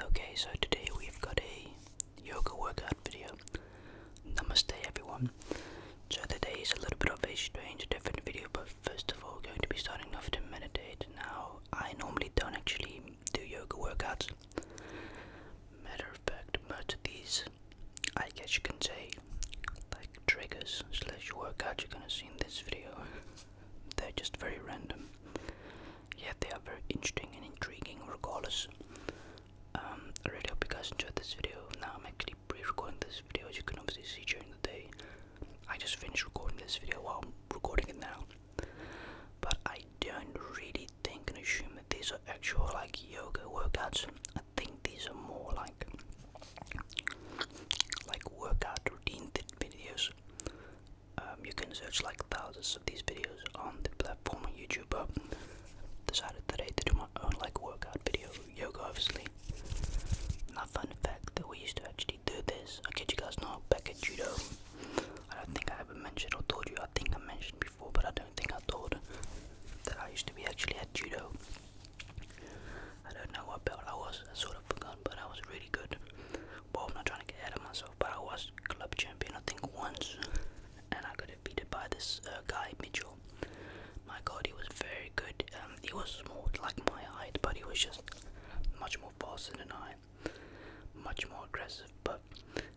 Okay, so today we've got a yoga workout video. Namaste, everyone. So today is a little bit of a strange, different video, but first of all, we're going to be starting off to meditate. Now, I normally don't actually do yoga workouts. Matter of fact, much of these, I guess you can say, like triggers slash workout you're gonna see in this video. They're just very random. Yet they are very interesting and intriguing regardless. Um, I really hope you guys enjoyed this video. Now I'm actually pre-recording this video as you can obviously see during the day. I just finished recording this video while I'm recording it now. But I don't really think and assume that these are actual like yoga workouts. I think these are more like like workout routine videos. Um, you can search like thousands of these videos on the platform on YouTube. But decided today to do my own like workout video, yoga obviously. Not fun fact that we used to actually do this. I kid you guys not back at judo. I don't think I ever mentioned or told you. I think I mentioned before, but I don't think I told that I used to be actually a judo. I don't know what belt I was. I sort of forgot, but I was really good. Well, I'm not trying to get ahead of myself, but I was club champion, I think, once. And I got defeated by this uh, guy, Mitchell. My god, he was very good. Um, he was more like my height, but he was just much more faster than I. Much more aggressive, but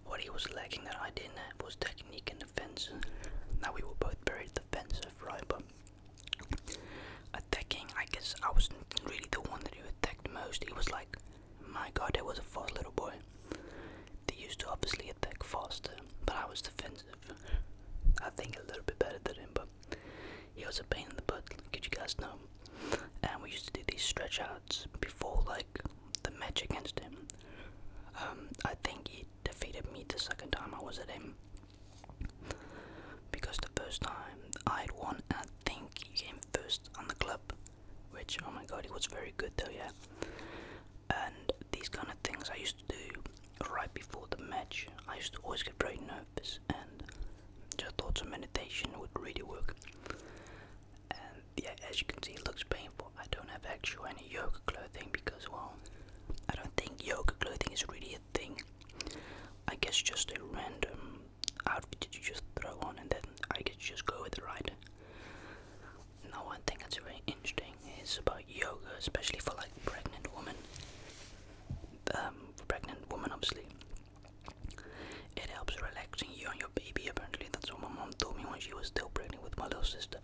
what he was lacking that I didn't have was technique and defense. Now, we were both very defensive, right? But attacking. I guess I was not really the one that you attacked most. He was like, my god, that was a fast little boy. He used to obviously attack faster, but I was defensive. I think a little bit better than him, but he was a pain in the butt, like you guys know. And we used to do these stretch outs before like the match against him. Um, I think he defeated me the second time I was at him. Because the first time I had won, I think he came first on the club, which oh my god, it was very good though, yeah. And these kind of things I used to do right before the match. I used to always get very nervous, and just thoughts some meditation would really work. And yeah, as you can see, it looks painful. I don't have actual any yoga clothing because, well, I don't think yoga clothing is really a thing. I guess just a random outfit that you just throw on and then I could just go with it, right? Now one thing that's very interesting is about yoga, especially for like pregnant women. Um, pregnant woman, obviously. It helps relaxing you and your baby apparently. That's what my mom told me when she was still pregnant with my little sister.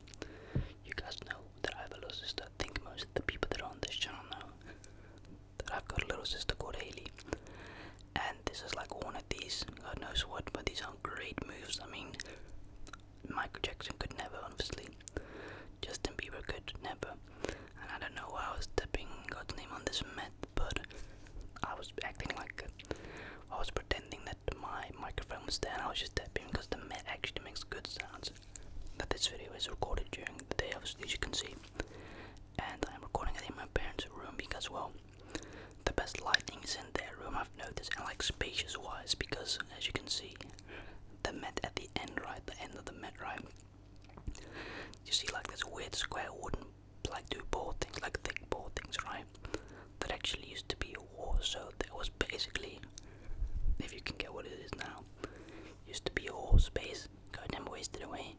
You guys know that I have a little sister. I think most of the people that are on this channel know I've got a little sister called Haley, and this is like one of these. God knows what, but these are great moves. I mean, Michael Jackson could never, obviously. Justin Bieber could never. And I don't know why I was tapping. God's name on this meth, but I was acting like I was pretending that my microphone was there and I was just tapping because the meth actually makes good sounds that this video is recorded during the day, obviously, as you can see. And I'm recording it in my parents' room because, well, the best lighting is in their room, I've noticed, and like spacious wise, because as you can see, the mat at the end, right, the end of the mat, right, you see like this weird square wooden, like two board things, like thick board things, right, that actually used to be a wall, so that was basically, if you can get what it is now, used to be a whole space, got them wasted away.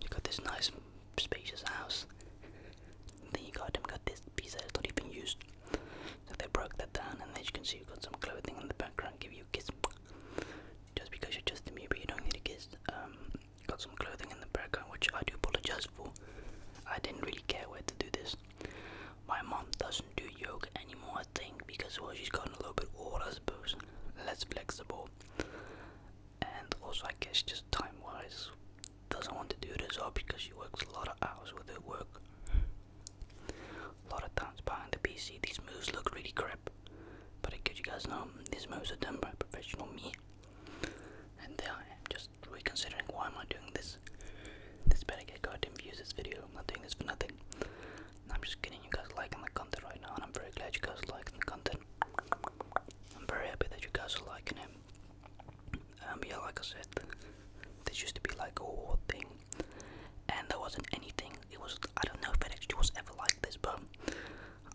You got this nice spacious house. Then you got them got this piece that is not even used. So they broke that down and as you can see you got some clothing in the background give you a kiss. Just because you're just me but you don't need kiss. Um, got some clothing in the background which I do apologize for. I didn't really care where to do this. My mom doesn't do yoga anymore, I think, because well, she's gotten a little bit older, I suppose, less flexible, and also I guess just time-wise doesn't want to do this all because she works a lot of hours with her work. A lot of times behind the PC, these moves look really crap, but I guess you guys know these moves are done by professional me, and there I am just reconsidering why am I doing this. This better get goddamn views. This video. I'm not doing this for nothing. I'm just kidding, you guys liking the content right now, and I'm very glad you guys are liking the content. I'm very happy that you guys are liking it. And um, yeah, like I said, this used to be like a whole thing, and there wasn't anything. It was, I don't know if it actually was ever like this, but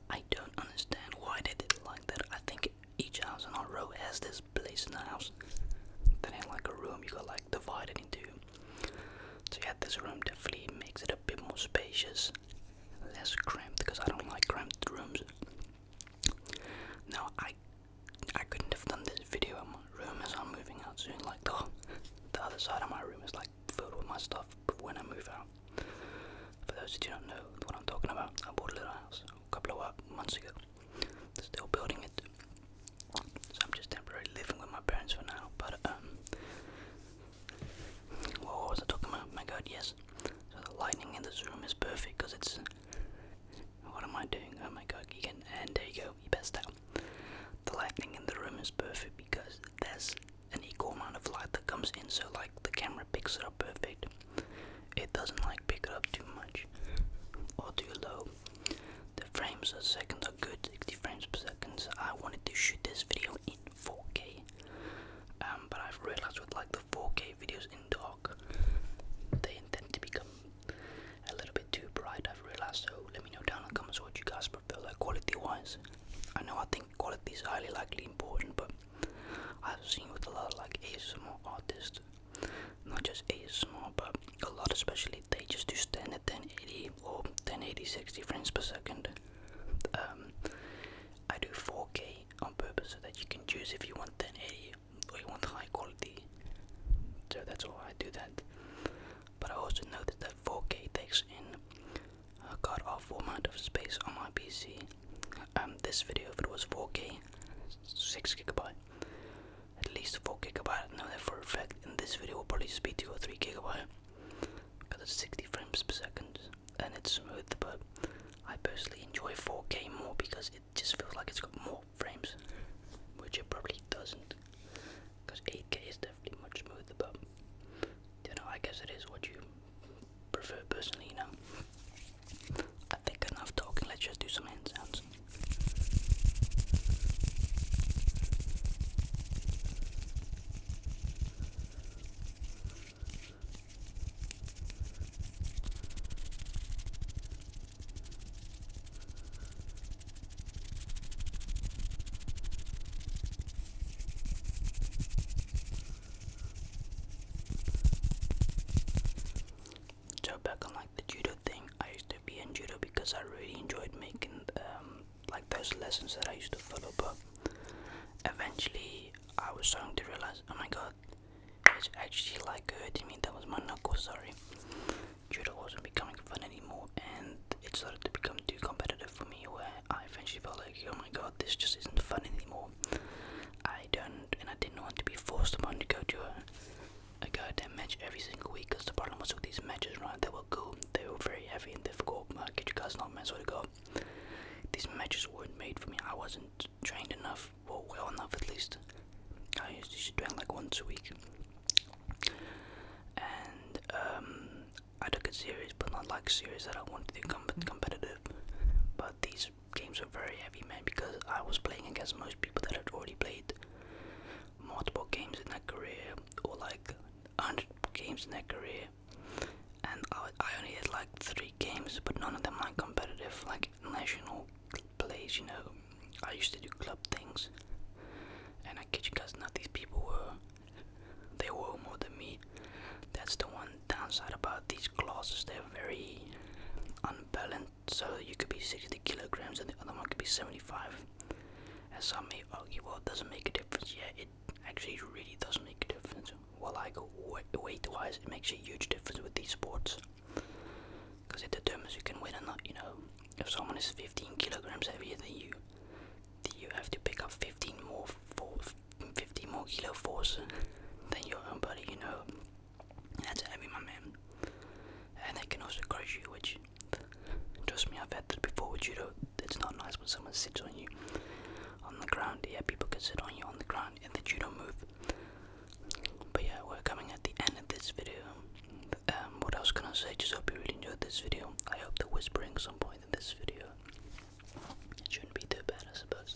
I don't understand why they did it like that. I think each house in our row has this place in the house. that ain't like a room, you got like divided into so yeah, this room definitely makes it a bit more spacious, less cramped because I don't like cramped rooms. Now I I couldn't have done this video in my room as I'm moving out soon. Like the the other side of my room is like filled with my stuff when I move out. For those who do not know what I'm talking about, I bought a little house a couple of months ago still building it. So I'm just temporarily living with my parents for now. But um, well, what was I talking about? My God, yes. So the lighting in this room is perfect because it's. What am I doing? Oh my God, Keegan! And there you go, you best out. The lighting in the room is perfect because there's an equal amount of light that comes in, so like the camera picks it up perfect. It doesn't like pick it up too much or too low. The frames per second are good, 60 frames per second. I wanted to shoot this video in 4K, um, but I've realized with like the 4K videos in dark, they tend to become a little bit too bright. I've realized. So let me know down in the comments what you guys prefer, like quality-wise. I know I think quality is highly likely important, but I've seen with a lot of like ASMR artists not just a small, but a lot especially they just do stand at 1080 or 1080 60 frames per second um, I do 4K on purpose so that you can choose if you want 1080 or you want high quality so that's why I do that but I also noticed that 4K takes in a god awful amount of space on my PC um, this video if it was 4K 6 gigabyte at least 4 gigabyte. I know that for a fact. And this video will probably just be 2 or 3 gigabyte because it's 60 frames per second and it's smooth. But I personally enjoy 4K more because it just feels like it's got more frames, which it probably doesn't. Because 8K is definitely much smoother. But you know, I guess it is what you prefer personally. You know. I think enough talking, let's just do some hand sounds. So back on like the judo thing, I used to be in judo because I really enjoyed making um, like those lessons that I used to follow. But eventually, I was starting to realize, oh my god, it's actually like hurting uh, me. That was my knuckle. Sorry, judo wasn't becoming fun anymore, and it started to become too competitive for me. Where I eventually felt like, oh my god, this just isn't fun anymore. I don't and I didn't want to be forced upon to go to a, goddamn match every single week. Because the problem was with these matches, right? They were cool, they were very heavy and difficult. Uh, could you guys not mess with it? Go. These matches weren't made for me. I wasn't trained enough, or well enough at least. I used to train like once a week, and um, I took it serious, but not like serious that I wanted to be com competitive. But these games were very heavy, man, because I was playing against most people that had already played multiple games in their career or like 100 games in their career, and I, I only had like three games, but none of them like competitive, like national plays. You know, I used to do club things, and I kid you guys not, these people were they were more than me. That's the one downside about these glasses, they're very unbalanced. So you could be 60 kilograms and the other one could be 75. As some may argue, well, it doesn't make a difference. Yeah, it actually really does make a difference. Well, like weight wise, it makes a huge difference with these sports because it determines who can win or not. You know, if someone is 15 kilograms heavier than you, you have to pick up 15 more, for, 15 more kilo force than your own body, you know. That's heavy, my man. And they can also crush you, which, trust me, I've had that before with judo. It's not nice when someone sits on you on the ground. Yeah, people can sit on you on the ground in the judo move. But yeah, we're coming at the end of this video. Um, what else can I say? Just hope you really enjoyed this video. I hope the whispering some point in this video. It shouldn't be too bad, I suppose.